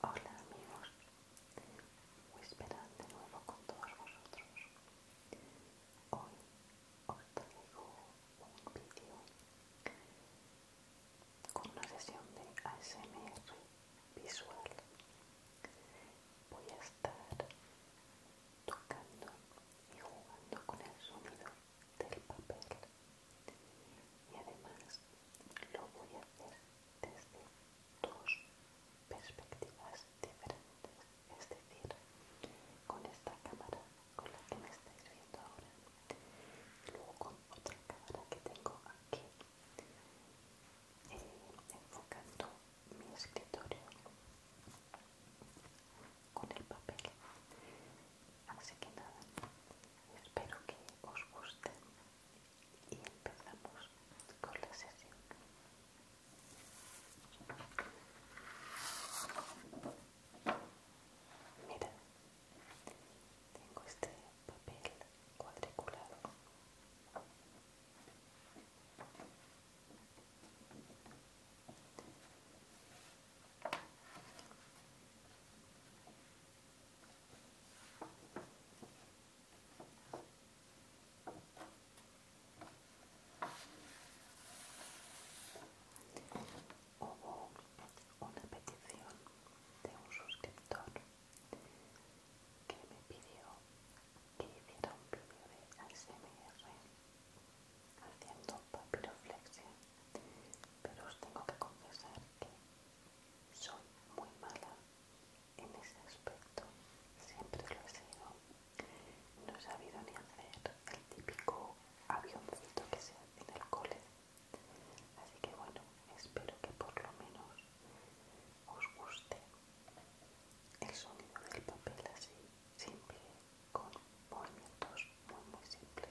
Hola amigos, Whisperan de nuevo con todos vosotros. Hoy os traigo un vídeo con una sesión de ASMR visual. Voy a estar tocando y jugando con el sonido del papel y además lo voy a hacer desde dos perspectivas diferentes, es decir, con esta cámara con la que me estáis viendo ahora, y luego con otra cámara que tengo aquí enfocando mi escritorio con el papel así que nada espero que os guste y empezamos con la sesión mira tengo este papel cuadriculado. Hubo una petición de un suscriptor que me pidió que hiciera un vídeo de ASMR haciendo papiroflexia, pero os tengo que confesar que soy muy mala en ese aspecto, siempre lo he sido. No he sabido ni hacer el típico avioncito que se hace en el cole Así que bueno, espero que por lo menos os guste el sonido del papel así, simple, con movimientos muy muy simples.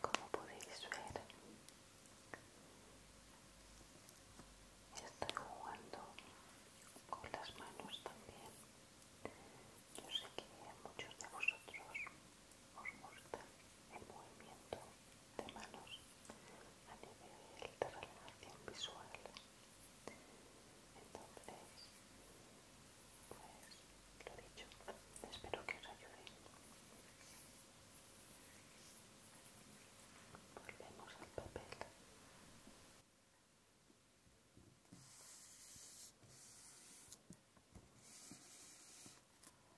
Como podéis ver, estoy jugando con las manos también. Yo sé que muchos de vosotros os gusta el movimiento de manos a nivel de relajación visual. Entonces, pues lo dicho, espero que os ayude. Volvemos al papel.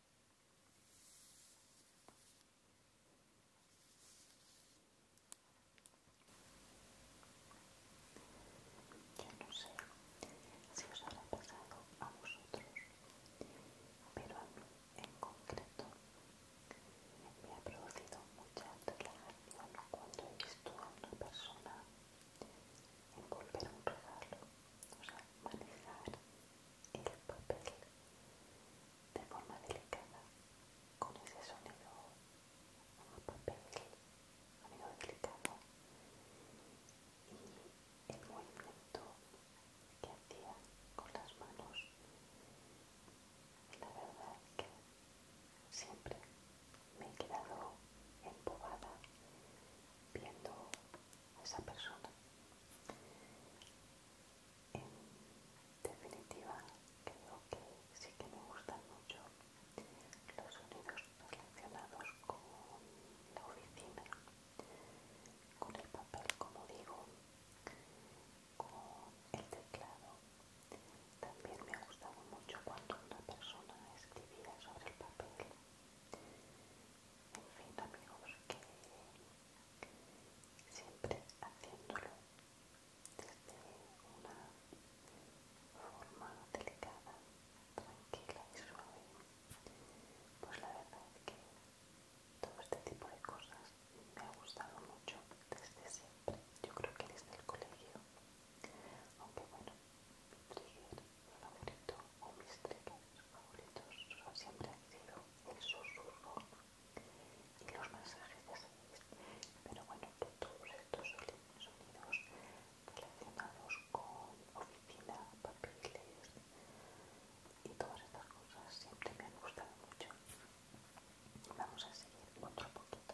Yo no sé si os ha pasado a vosotros, pero a mí en concreto me ha producido mucha relajación cuando he visto a una persona envolver un regalo, o sea, manejar el papel de forma delicada con ese sonido papel sonido delicado y el movimiento que hacía con las manos la verdad que siempre me he quedado empobada viendo esa persona. En definitiva, creo que sí que me gustan mucho los sonidos relacionados con la oficina, con el papel, como digo, con el teclado. También me ha gustado mucho cuando una persona escribía sobre el papel en fin amigos que siempre haciéndolo desde una forma delicada, tranquila y suave, pues la verdad es que todo este tipo de cosas me ha gustado mucho desde siempre, yo creo que desde el colegio, aunque bueno, favorito o mis favoritos siempre han sido el susurro y los mensajes, de Pero bueno, todos estos sonidos relacionados con oficina, papeles y todas estas cosas siempre me han gustado mucho. Vamos a seguir otro poquito.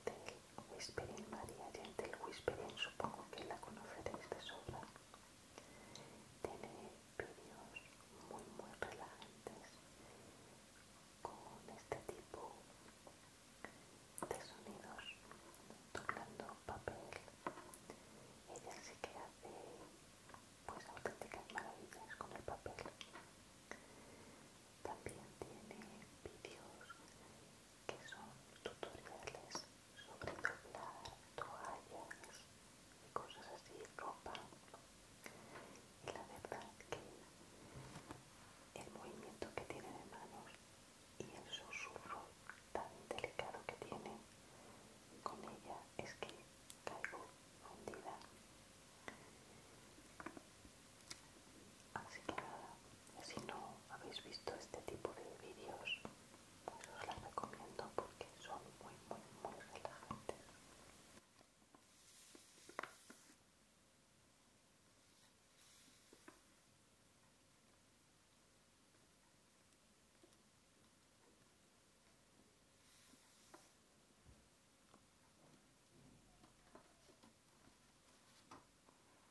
Gentle Whispering María, Gentle Whispering, supongo que la conoceréis de sobra. Tiene vídeos muy muy relajantes con este tipo de sonidos tocando papel. Ella sí que hace pues auténticas maravillas con el papel. También tiene vídeos que son tutoriales sobre doblar toallas y cosas así, ropa. Y la verdad que el movimiento que tiene de manos y el susurro tan delicado que tiene con ella es que caigo hundida. Así que si no habéis visto este tipo de vídeos, pues os las recomiendo porque son muy, muy, muy relajantes.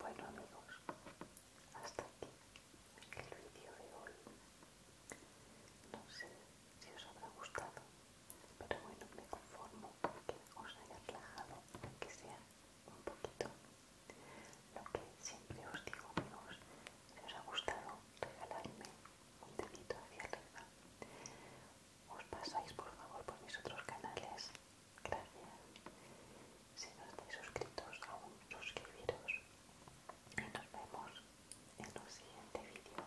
Bueno amigos, hasta aquí el vídeo de hoy. No sé si os habrá gustado, pero bueno, me conformo porque que os haya relajado, que sea un poquito. Lo que siempre os digo, amigos, si os ha gustado, regaladme un dedito hacia arriba. Os pasáis, por favor, por mis otros canales. Gracias. Si no estáis suscritos aún, suscribiros. Y nos vemos en un siguiente vídeo.